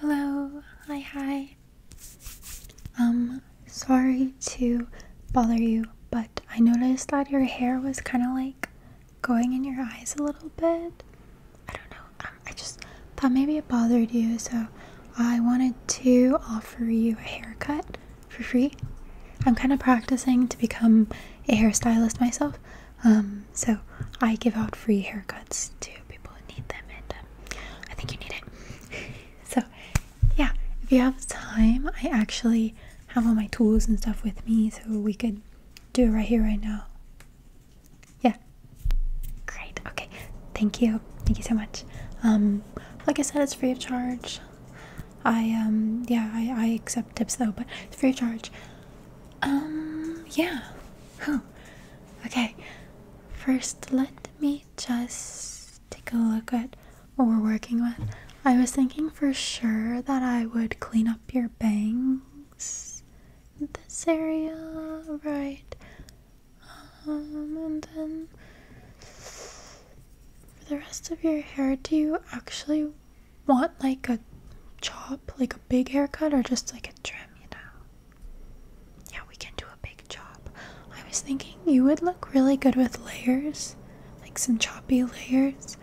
Hello, hi, hi. Um, sorry to bother you, but I noticed that your hair was kind of like going in your eyes a little bit. I don't know, um, I just thought maybe it bothered you, so I wanted to offer you a haircut for free. I'm kind of practicing to become a hairstylist myself, um, so I give out free haircuts to people who need them, and um, I think you need it. so yeah, if you have time, I actually have all my tools and stuff with me, so we could do it right here, right now. Yeah. Great. Okay. Thank you. Thank you so much. Um, like I said, it's free of charge. I um yeah I, accept tips though but it's free charge um yeah Okay, first let me just take a look at what we're working with. I was thinking for sure that I would clean up your bangs, this area, right? Um, and then for the rest of your hair, do you actually want like a chop, like a big haircut, or just like a trim, you know? Yeah, we can do a big chop. I was thinking you would look really good with layers, like some choppy layers.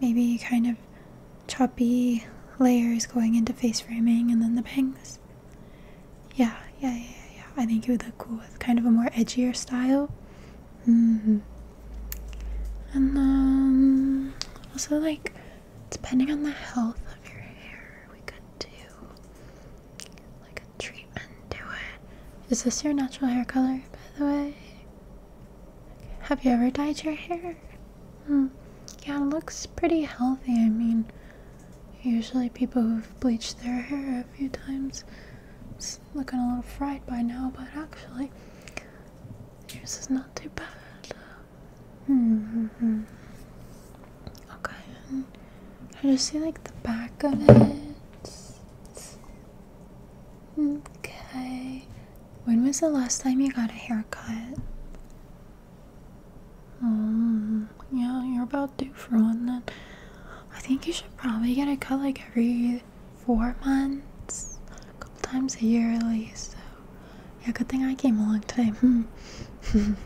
Maybe kind of choppy layers going into face framing and then the bangs. Yeah, yeah, yeah, yeah. I think it would look cool with kind of a more edgier style. Mm-hmm. And um, also like Depending on the health of your hair, we could do like a treatment to it. Is this your natural hair color, by the way? Have you ever dyed your hair? Hmm. Yeah, looks pretty healthy. I mean, usually people who've bleached their hair a few times it's looking a little fried by now, but actually, yours is not too bad. Mm hmm. Okay. I just see like the back of it. Okay. When was the last time you got a haircut? Mm, yeah, you're about due for one then. I think you should probably get a cut like every four months, a couple times a year at least. Yeah, good thing I came a long time.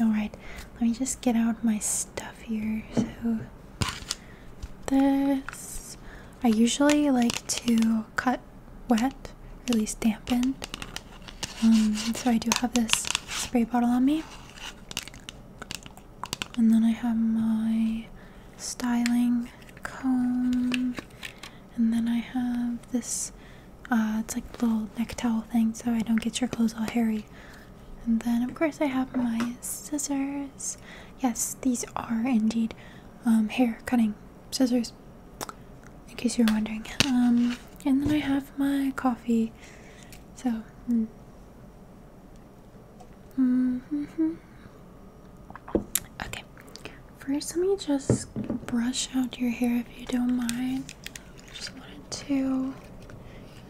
Alright, let me just get out my stuff here. So, this. I usually like to cut wet, or dampened. Um, so, I do have this spray bottle on me. And then I have my styling comb and then I have this, uh, it's like a little neck towel thing so I don't get your clothes all hairy. And then, of course, I have my scissors. Yes, these are indeed um, hair cutting scissors, in case you were wondering. Um, and then I have my coffee. So, mm. okay. First, let me just brush out your hair if you don't mind. I just wanted to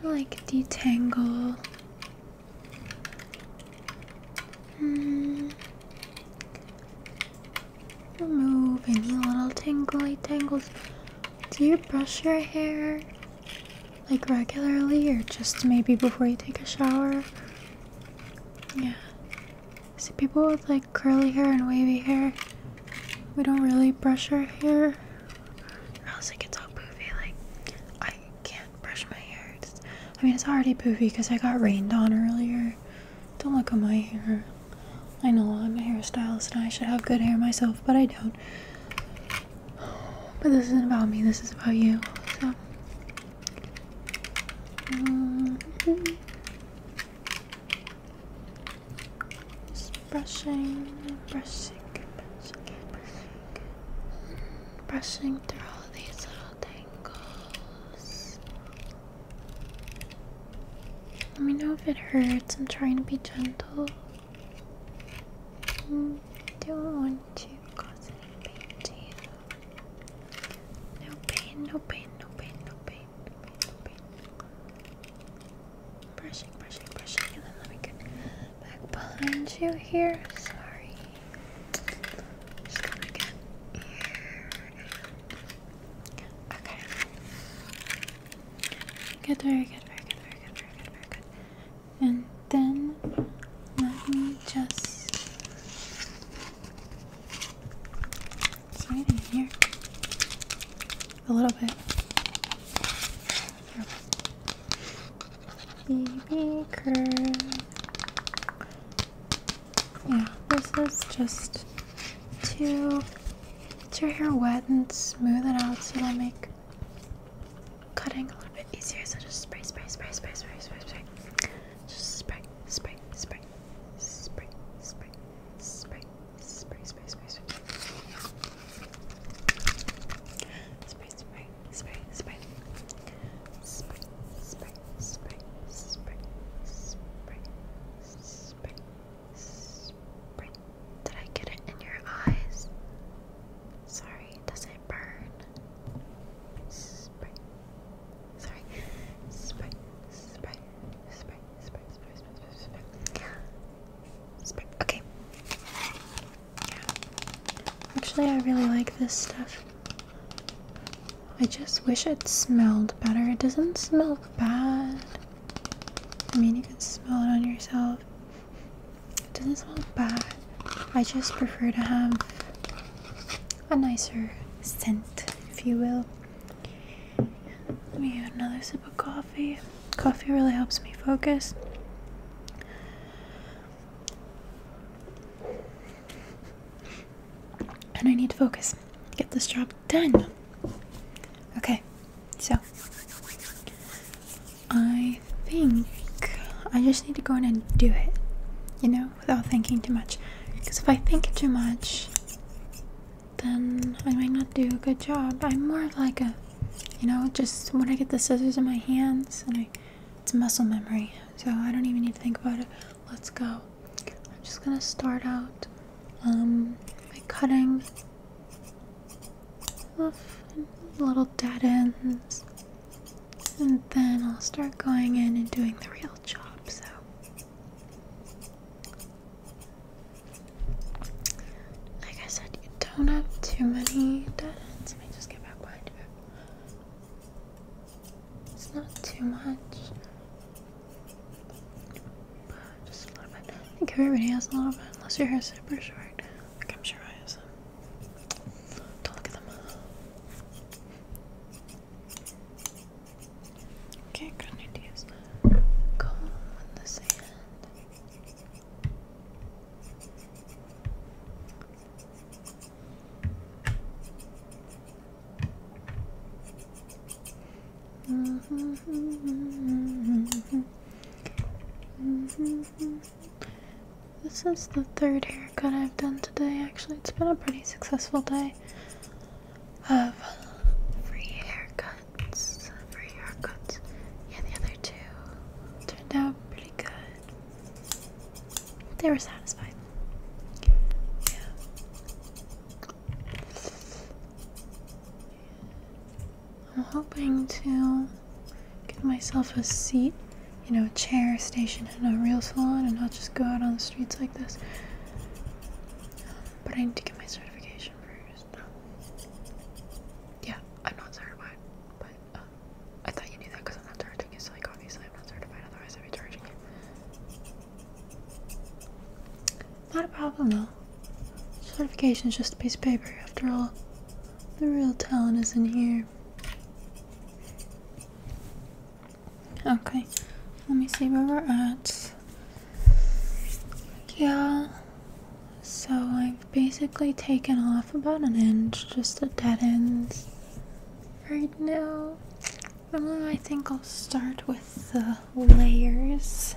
like detangle. Remove hmm. any little tingly tangles. Do you brush your hair like regularly or just maybe before you take a shower? Yeah. See people with like curly hair and wavy hair. We don't really brush our hair, or else it gets all poofy. Like I can't brush my hair. I mean, it's already poofy because I got rained on earlier. Don't look at my hair. I know I'm a hairstylist and I should have good hair myself, but I don't. But this isn't about me. This is about you. So. Mm-hmm. Just brushing, brushing, brushing, brushing, brushing through all these little tangles. Let me know if it hurts. I'm trying to be gentle. Mm, don't want to cause any pain to you. No pain, no pain, no pain, no pain. Brushing, brushing, brushing, and then let me get back behind you here. Sorry. Just gonna here. Okay. Good, very good, very good, very good, very good, very good. And then let me just is there in here? A little bit. BB Yeah, this is just to get your hair wet and smooth it out so it'll make cutting a little bit easier. So just spray, spray, spray, spray, spray, spray, spray. Just spray, spray, spray, spray, spray, spray, Spray, spray, spray, spray. Spray, spray, spray, spray. Spray, spray, spray, spray, spray, spray, spray. Did I get it in your eyes? Sorry, does it burn? Spray. Sorry. Spray, spray, spray, Okay. Actually, I really like this stuff. I just wish it smelled better. It doesn't smell bad. I mean, you can smell it on yourself. It doesn't smell bad. I just prefer to have a nicer scent, if you will. Let me have another sip of coffee. Coffee really helps me focus. And I need to focus. Get this job done. Okay, so I think I just need to go in and do it, you know, without thinking too much. Because if I think too much, then I might not do a good job. I'm more of like a, you know, just when I get the scissors in my hands and I, it's muscle memory, so I don't even need to think about it. Let's go. I'm just gonna start out um, by cutting little dead ends, and then I'll start going in and doing the real job. So like I said, you don't have too many dead ends. Let me just get back behind you. It's not too much. just a little bit. I think everybody has a little bit, unless your hair's super short. Like I'm Don't look at them. Okay, I'm going to use comb on the mm-hmm. This is the third haircut I've done today. Actually, it's been a pretty successful day of free haircuts. Free haircuts. Yeah, the other two turned out pretty good. They were satisfied. Yeah. I'm hoping to get myself a seat, you know, a chair station in a real salon and not just go out on the streets like this. But I need to get my certification first. No. Yeah, I'm not certified. But um, I thought you knew that because I'm not charging it. So like obviously I'm not certified. Otherwise I'd be charging it. Not a problem though. Certification is just a piece of paper. After all, the real talent is in here. Okay, let me see where we're at. Yeah, so I've basically taken off about an inch, just a dead end right now. Well, I think I'll start with the layers.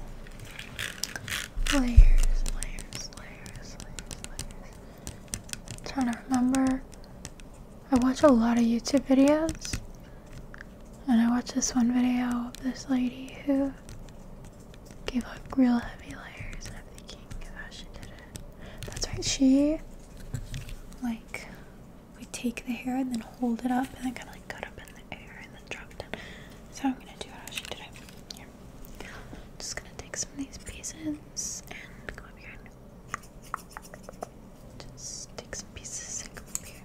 Layers, layers, layers, layers, layers. I'm trying to remember. I watch a lot of YouTube videos and I watched this one video of this lady who gave up real heavy layers, and I'm thinking of how she did it. That's right, she like we take the hair and then hold it up and then kind of like cut up in the air and then drop it That's how I'm gonna do how she did it. Here. Just gonna take some of these pieces and go up here just take some pieces and come up here.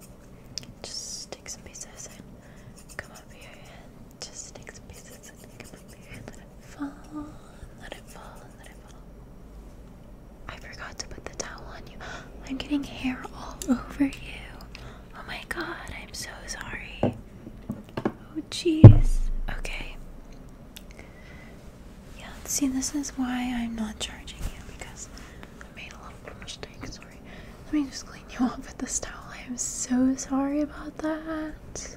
Just take some pieces and come up here. just take some pieces and come up here. let it fall. let it fall. let it fall. I forgot to put the towel on you. I'm getting hair all over you. Oh my god, I'm so sorry. Oh jeez. Okay. Yeah, see, this is why I'm not charging you because I made a little mistake, sorry. Let me just clean you up with this towel. I am so sorry about that.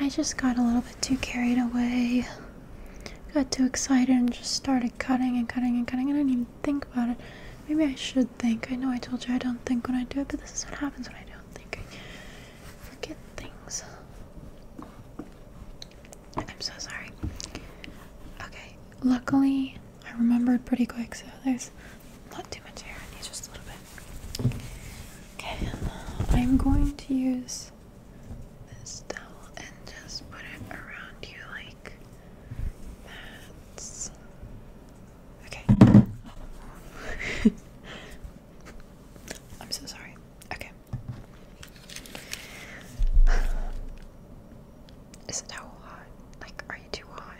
I just got a little bit too carried away. Got too excited and just started cutting and cutting and cutting. I didn't even think about it. Maybe I should think. I know I told you I don't think when I do it, but this is what happens when I don't think. I forget things. I'm so sorry. Okay, luckily I remembered pretty quick, so there's not too much hair, I need just a little bit. Okay, I'm going to use this towel and just put it around you like that's okay. I'm so sorry. Okay. Is it towel hot? Like, are you too hot?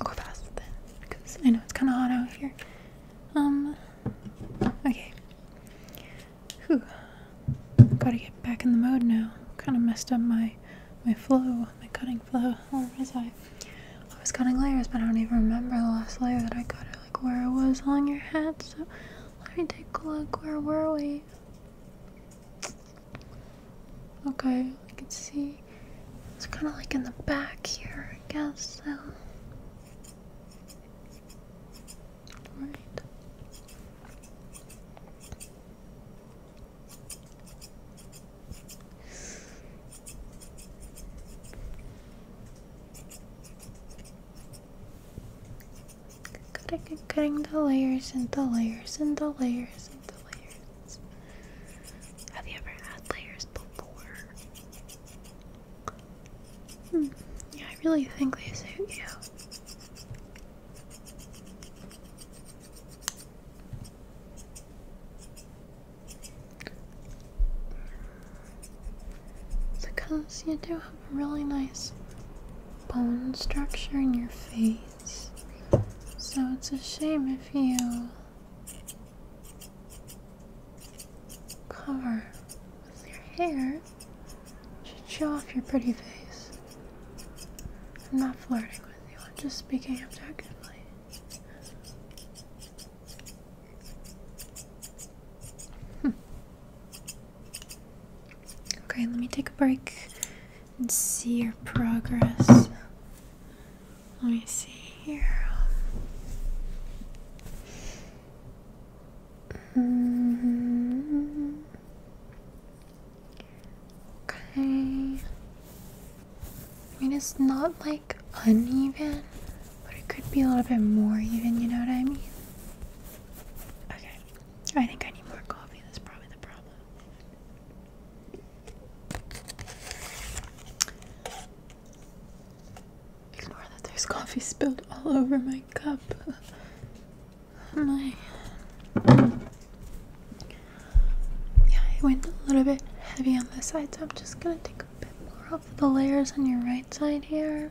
i go past then, because I know it's kind of hot out here. Um, okay. Whew. Gotta get back in the mode now. Kind of messed up my my flow, my cutting flow. Where was I? I was cutting layers, but I don't even remember the last layer that I cut like where I was on your head. So let me take a look. Where were we? Okay, I can see it's kind of like in the back here, I guess. So. Right. Cutting, the layers and the layers and the layers and the layers. Have you ever had layers before? Hmm, yeah, I really think they suit you. Because you do really nice bone structure in your face. So it's a shame if you cover with your hair to show off your pretty face. I'm not flirting with you, I'm just speaking objectively. Hmm. Okay, let me take a break and see your progress. Let me see here. Mm-hmm. Okay. I mean, it's not like uneven, but it could be a little bit more even, you know what I mean? Okay. I think I need more coffee. That's probably the problem. Ignore that there's coffee spilled all over my cup. Oh, my. Yeah, it went a little bit heavy on the side, so I'm just gonna take a bit more off the layers on your right side here.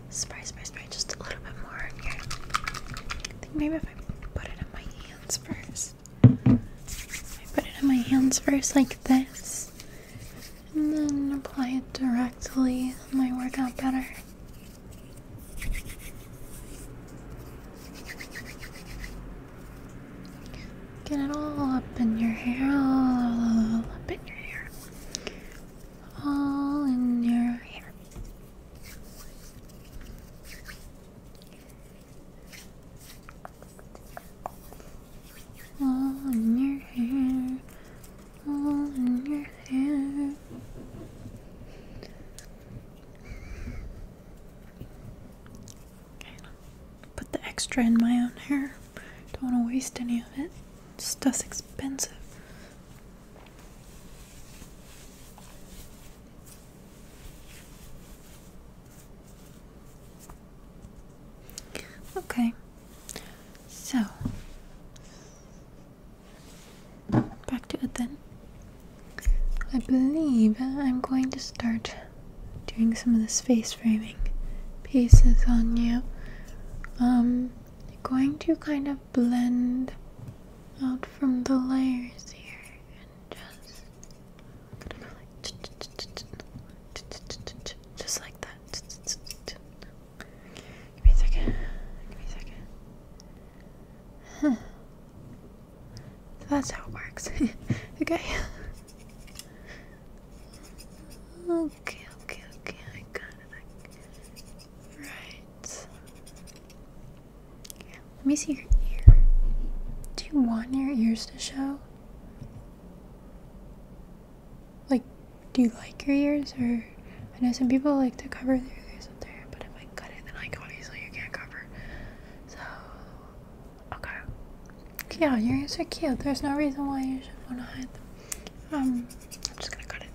Spray, spray, spray just a little bit more on here. I think maybe if I put it in my hands first. put it on my hands first like this. And then apply it directly. might work out better. Get it all up in your hair, all up in your hair all in your hair. All in your hair. All in your hair. Put the extra in my own hair. Don't want to waste any of it. Stuff's expensive. Okay, so back to it then. I believe I'm going to start doing some of the space framing pieces on you. Um, going to kind of blend out from the layers here and just just like that. Give me a second. Give me a second. that's how it works. okay. Oh, Okay, okay, okay, I got it. Right. Here, let me see your ear. Do you want your ears to show? Like, do you like your ears? Or, I know some people like to cover their ears up there, but if I cut it, then like obviously you can't cover. So, okay. Yeah, your ears are cute. There's no reason why you should want to hide them. Um, I'm just gonna cut it.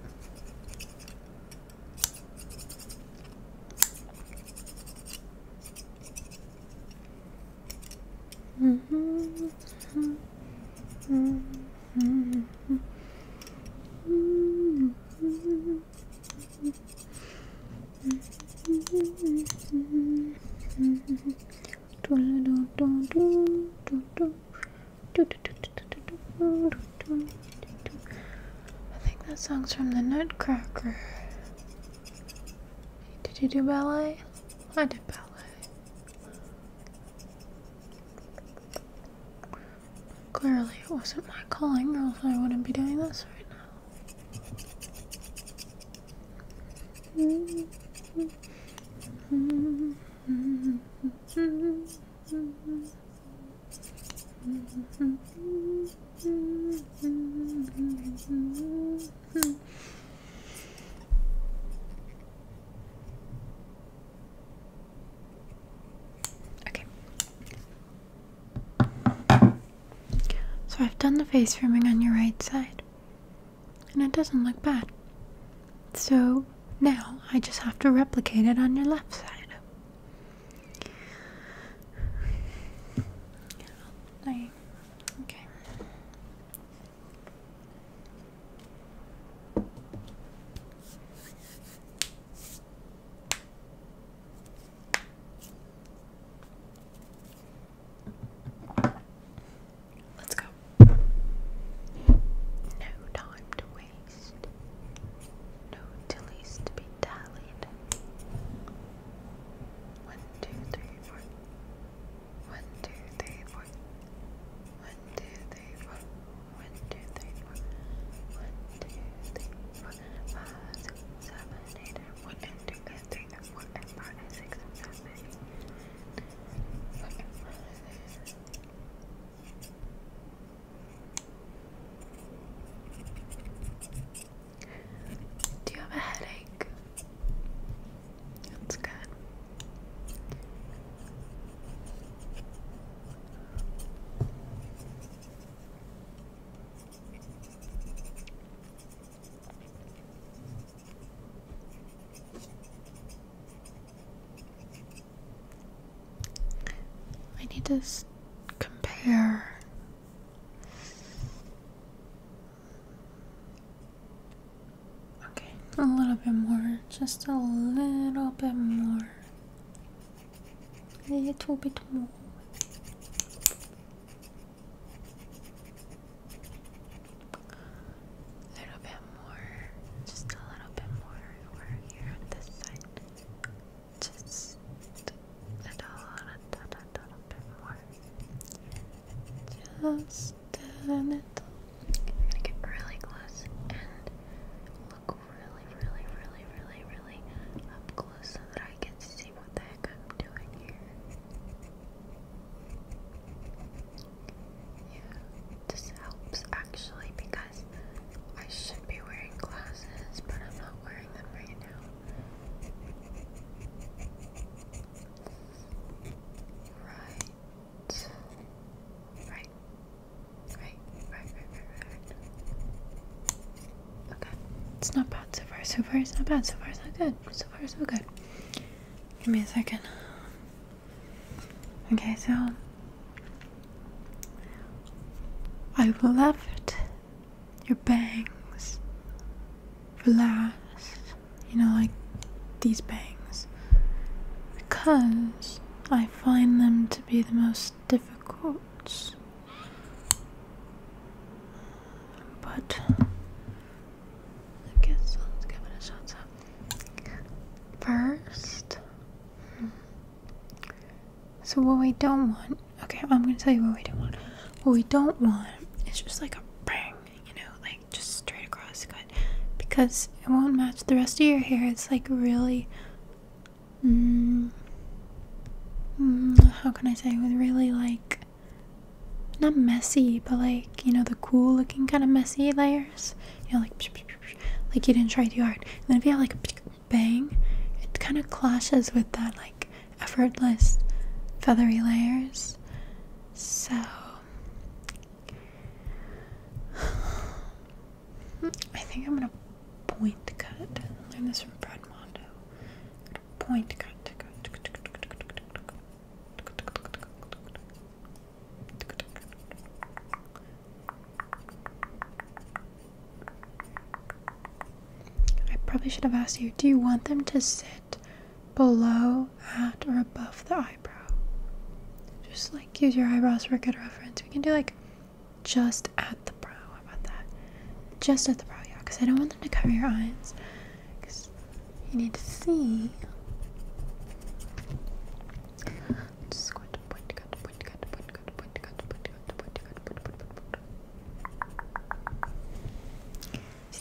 Mm -hmm, mm -hmm, mm -hmm, mm -hmm. -hmm. -hmm. I think that song's from the Nutcracker. Did you do ballet? I did ballet. Clearly, it wasn't my calling, or else I wouldn't be doing this right now. Mm-hmm. Mm-hmm. Okay. So I've done the face firming on your right side and it doesn't look bad. So now I just have to replicate it on your left side. I, okay. Let's go. No time to waste. No dillies to be dallied. One, two, three, four. One, two, three, four. One, two, three, four. One, two, three, four. One, two, three, four. Five, six, seven, eight, and one, do you have a headache? That's good. I need to compare. Okay, a little bit more, just a little bit more. A little bit more. A little bit more, just a little bit more over here on this side. Just a little, little, little bit more. Just a little. I'm gonna get really close and look really, really, really, really, really up close so that I can see what the heck I'm doing here this helps actually because I should be wearing glasses, but I'm not wearing them right now. Right. Right. Right, right, right, right, right. Okay. It's not bad so far. So far it's not bad. So far it's not good. So far so good. Give me a second. Okay, so I've left your bangs for last, you know, like these bangs, because I find them to be the most difficult. But I guess let's give it a shot first. Hmm. So what we don't want, okay, I'm gonna tell you what we don't want. What we don't want is just like a bang, you know, like just straight across because it won't match the rest of your hair. It's like really, mm, mm, how can I say, with really like not messy, but like you know the cool looking kind of messy layers you know, like like you didn't try too hard. And then if you have like a bang, it kind of clashes with that like effortless feathery layers. So I think I'm gonna point cut. I this from Brad Mondo. Point cut. I probably should have asked you do you want them to sit below, at, or above the eyebrow? Just like use your eyebrows for a good reference. We can do like just at the brow. How about that? Just at the brow, yeah, because I don't want them to cover your eyes. Because you need to see the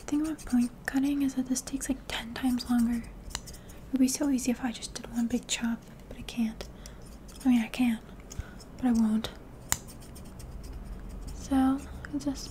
thing about point cutting is that this takes like 10 times longer. It would be so easy if I just did one big chop, but I can't. I mean, I can, but I won't. So, I just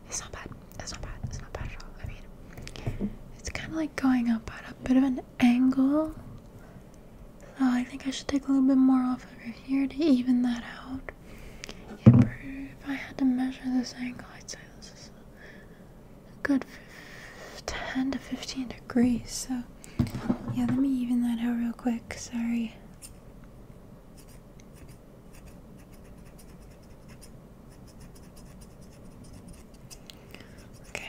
It's not bad. It's not bad. It's not bad at all. I mean, it's kind of like going up at a bit of an angle. So I think I should take a little bit more off over here to even that out. if I had to measure this angle, I'd say this is a good 10 to 15 degrees. So yeah, let me even that out real quick. Sorry. Okay.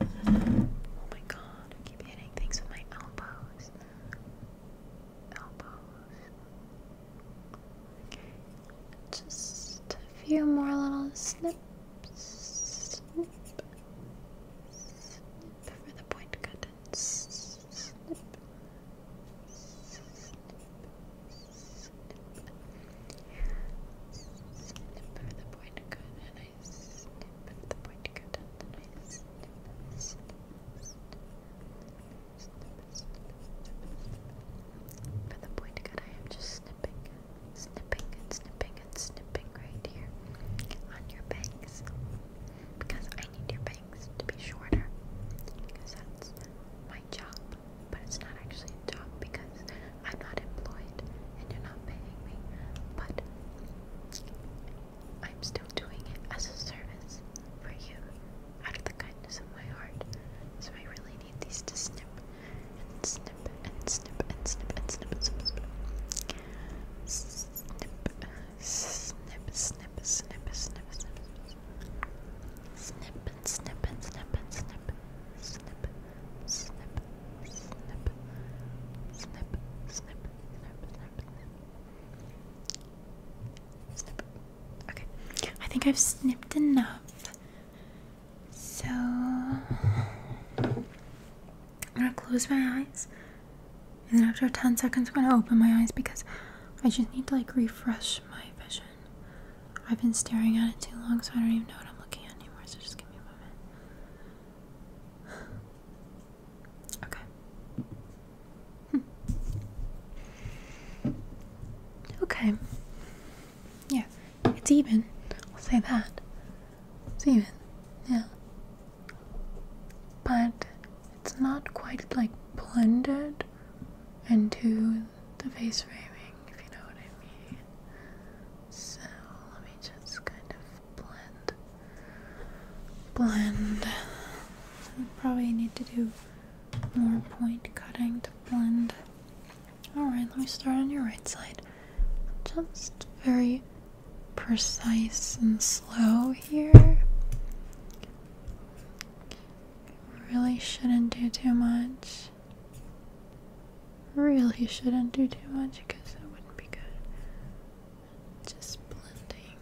Oh my god, keep hitting things with my elbows. Elbows. Just a few more little snips. Cover the point for the point and I snip the point and I For the point I am just snipping, snipping and snipping and snipping right here on your bangs because I need your bangs to be shorter because that's my job, but it's not actually a job because I'm not employed and you're not paying me, but I'm still doing it as a service for you out of the kindness of my heart. So I really need these to snip and snip and snip and snip and snip and snip. And snip. Snip, snip, snip, snip, snip, snip, snip, and snip, and snip, and snip, snip, snip, snip, snip, snip, snip, snip, snip. Okay, I think I've snipped enough. So I'm gonna close my eyes, and then after 10 seconds, I'm gonna open my eyes because I just need to like refresh my vision. I've been staring at it too long, so I don't even know what I'm looking at anymore, so just give me a moment. Okay. Hmm. Okay. Yeah, it's even. I'll say that. Even, yeah. But it's not quite like blended into the face framing, if you know what I mean. So let me just kind of blend, blend. probably need to do more point cutting to blend. Alright, let me start on your right side just very precise and slow here. Really shouldn't do too much. Really shouldn't do too much because it wouldn't be good. Just blending.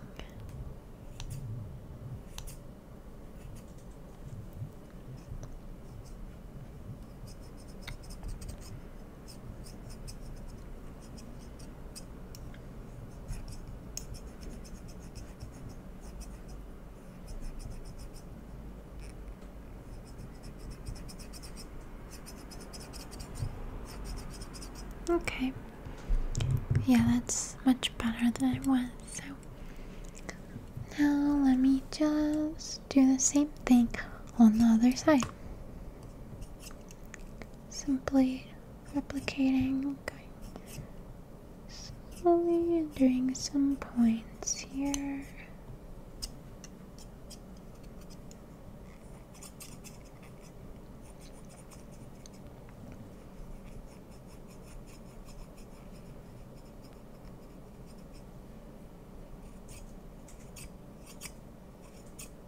Okay. Yeah, that's much better than it was. So now let me just do the same thing on the other side simply replicating, slowly doing some points here.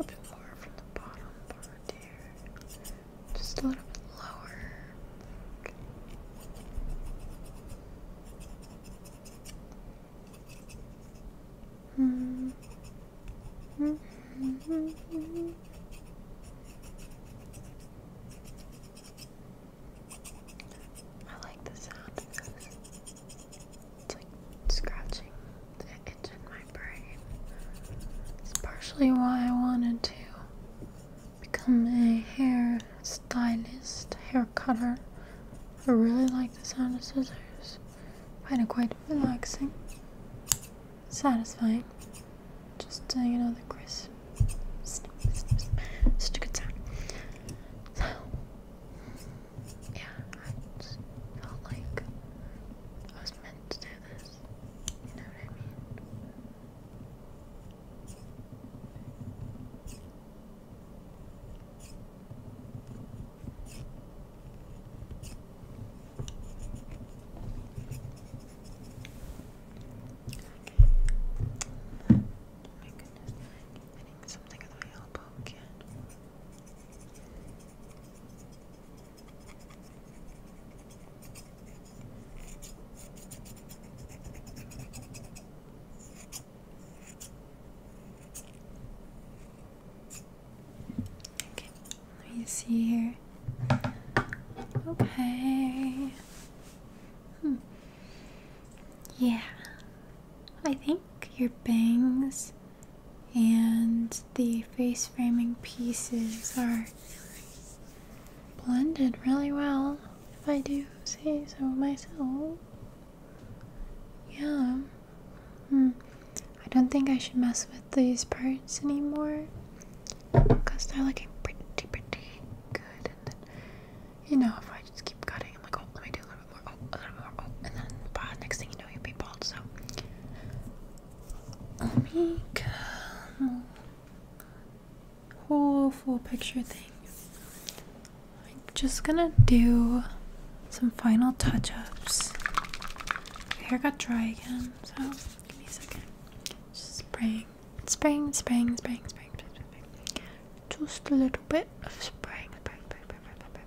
a bit more from the bottom part here. Just a little bit lower. Okay. Mm -hmm. -hmm. I like the sound of this. It's like scratching the itch in my brain. It's partially why I wanted to become a hair stylist, hair cutter. I really like the sound of scissors. I find it quite relaxing, satisfying. Just uh, you know the crisp, snip, such a good sound. Yeah, I just felt like I was meant to do this. You know what I mean? I think something in my elbow again. Okay, let me see here. Okay. Hmm. Yeah. I think your bangs and the face framing pieces are blended really well, if I do say so myself. Yeah. Hmm. I don't think I should mess with these parts anymore because they're looking pretty, pretty good. And then, you know, if I just keep cutting, I'm like, oh, let me do, let me little more, oh, a little more, oh, and then bah, next thing you know, you'll be bald. So let me come whole full picture thing. I'm just gonna do some final touch-ups. My hair got dry again, so give me a second. Just spraying, spraying, spraying, spraying, spraying, spraying, spraying. Just a little bit of spraying, spraying, spraying, spraying, spraying.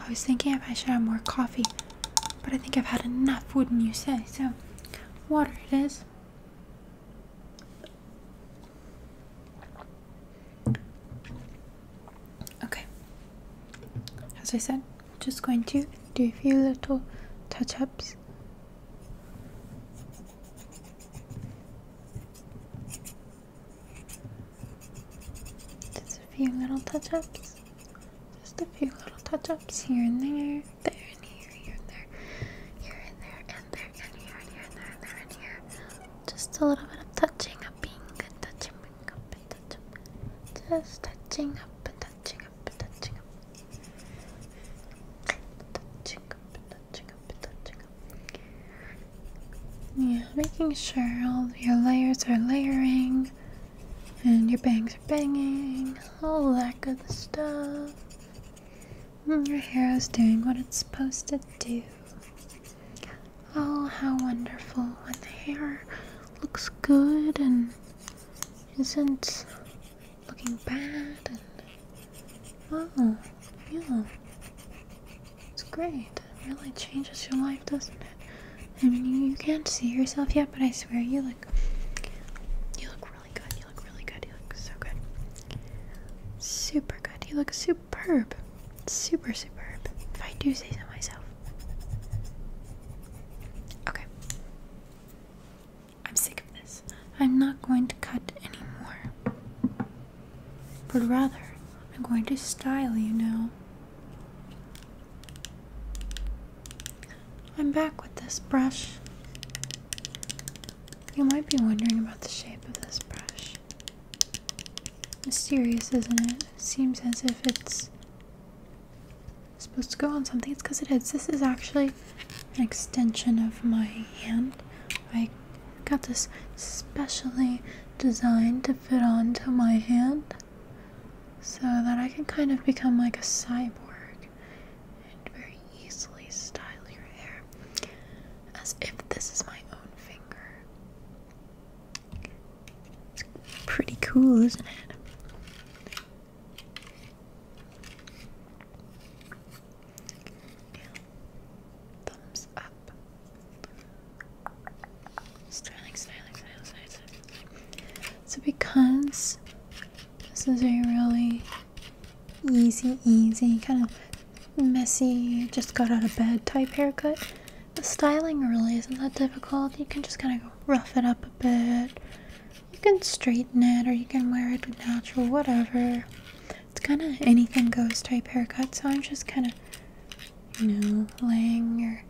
I was thinking if I should have more coffee, but I think I've had enough, wouldn't you say? So, water it is. Okay. As I said, just going to do a few little touch ups. Just a few little touch ups. Just a few little touch-ups here and there, there and here, here and there, here and there, and there, and here, here, and there, there, and here. Just a little bit of touching up, being touching up, and touching. up and touching up and touching up. and touching up and touching up. Yeah, making sure all your layers are layering. And your bangs are banging, all that good stuff. And your hair is doing what it's supposed to do. Oh, how wonderful when the hair looks good and isn't looking bad. And, oh, yeah. It's great. It really changes your life, doesn't it? I mean, you, can't see yourself yet, but I swear you look. You look really good. You look really good. You look so good. Super good. You look superb. Super superb. If I do say so myself. Okay. I'm sick of this. I'm not going to cut anymore. But rather, I'm going to style you now. I'm back with this brush. You might be wondering about the shape of this brush. Mysterious, isn't it? It seems as if it's supposed to go on something. It's because it is. This is actually an extension of my hand. I got this specially designed to fit onto my hand so that I can kind of become like a cyborg and very easily style your hair as if this is my own finger. Pretty cool, isn't it? Thumbs up. Styling, styling, styling, styling, So because this is a really easy, easy, kind of messy, just got out of bed type haircut, the styling really isn't that difficult. You can just kind of rough it up a bit. You can straighten it or you can wear it natural, whatever. It's kind of anything goes type haircut, so I'm just kind of, you know, laying your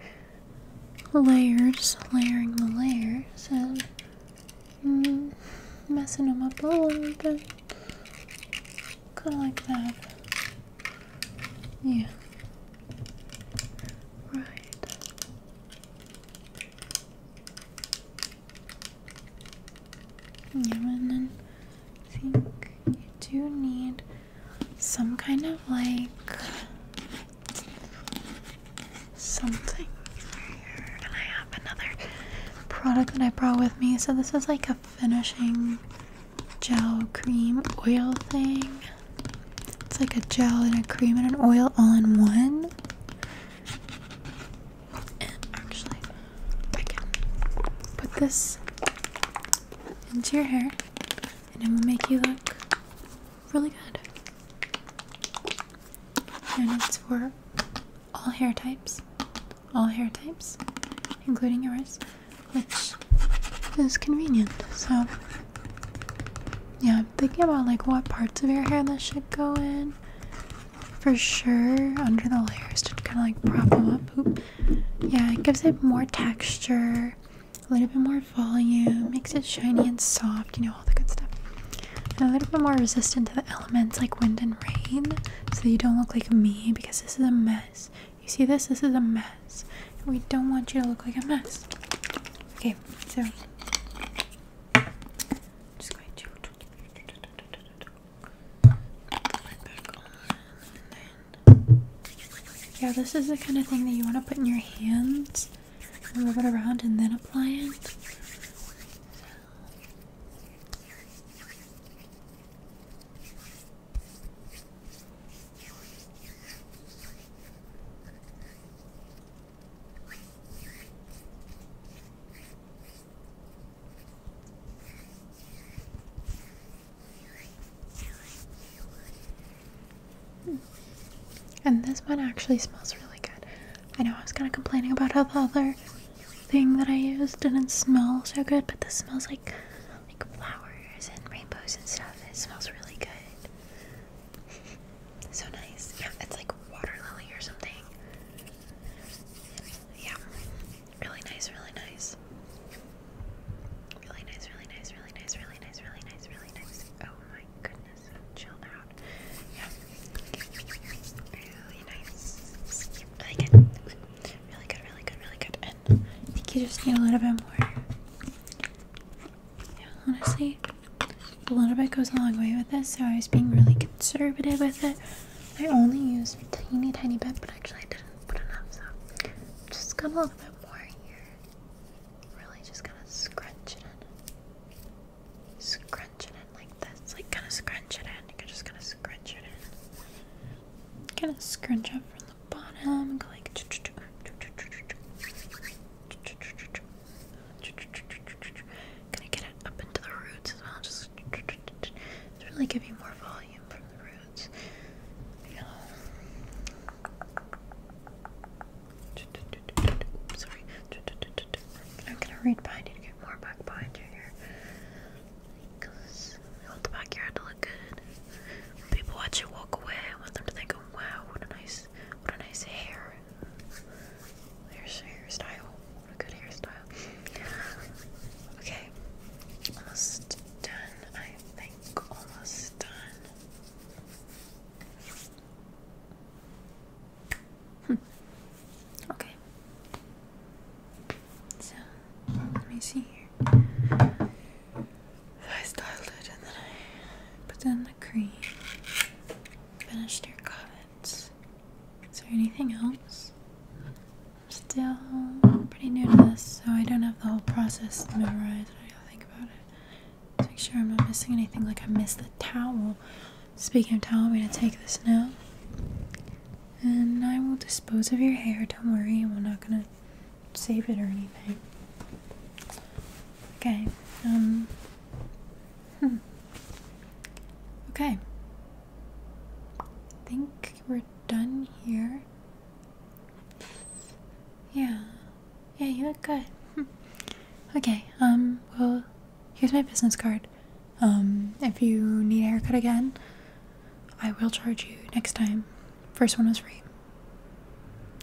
layers, layering the layers, and mm, messing up a little bit. Kinda like that. Yeah. Right. Yeah, and then I think you do need some kind of like something And I have another product that I brought with me. So this is like a finishing gel cream oil thing. It's like a gel and a cream and an oil all in one. And actually, I can put this into your hair and it will make you look really good. And it's for all hair types, all hair types, including yours, which is convenient. So, yeah, I'm thinking about like what parts of your hair this should go in. For sure, under the layers to kind of like prop them up. Yeah, it gives it more texture a little bit more volume, makes it shiny and soft, you know, all the good stuff. a little bit more resistant to the elements like wind and rain, so you don't look like me because this is a mess. You see this? This is a mess. we don't want you to look like a mess. Okay, so just going to put it back on and then yeah, this is the kind of thing that you want to put in your hands and rub it around and then apply it. Hmm. And this one actually smells really good. I know I was kind of complaining about how the other thing that I used didn't smell so good, but this smells like like flowers and rainbows and stuff. It smells really good. so nice. Yeah, it's like water lily or something. Yeah. Really nice, really nice. Really nice, really nice, really nice, really nice, really nice, really nice. Oh my goodness, chill out. Really nice. Yep, really good. Really good, really good, really good. I think you just need a little bit more. honestly, a little bit goes a long way with this, so I was being really conservative with it. I only used a teeny tiny bit, but actually I didn't put enough, so just got a little bit more here really just kind of scrunch it in. Scrunch it in like this. Like kind of scrunch it in. You're just going to scrunch it in. Kind of scrunch up from the bottom. Go like. get it up into the roots as well. Just really give you more volume from the roots. You know, sorry. I'm gonna read behind you to get more back behind you here. Because I want the backyard to look good. people watch you walk away, I want them to think, oh wow, what a nice what a nice hair. Here's your hairstyle. What a good hairstyle. Okay. Almost done, I think. Almost done. Hmm. Okay. So let me see here. I styled it and then I put in the cream. Finished your comments. Is there anything else? I'm still pretty new to this, so I don't have the whole process memorized. I gotta think about it make sure I'm not missing anything like I missed the towel. Speaking of towel, we am going to take this now. And I will dispose of your hair. Don't worry, we're not going to save it or anything. Okay, um. Hmm. Okay. I think we're done here. Yeah, yeah, you look good. okay, um, well, here's my business card. Um, if you need a haircut again, I will charge you next time. First one was free.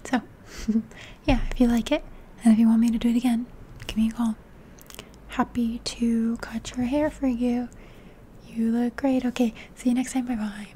So, yeah, if you like it, and if you want me to do it again, give me a call. Happy to cut your hair for you. You look great. Okay, see you next time. Bye bye.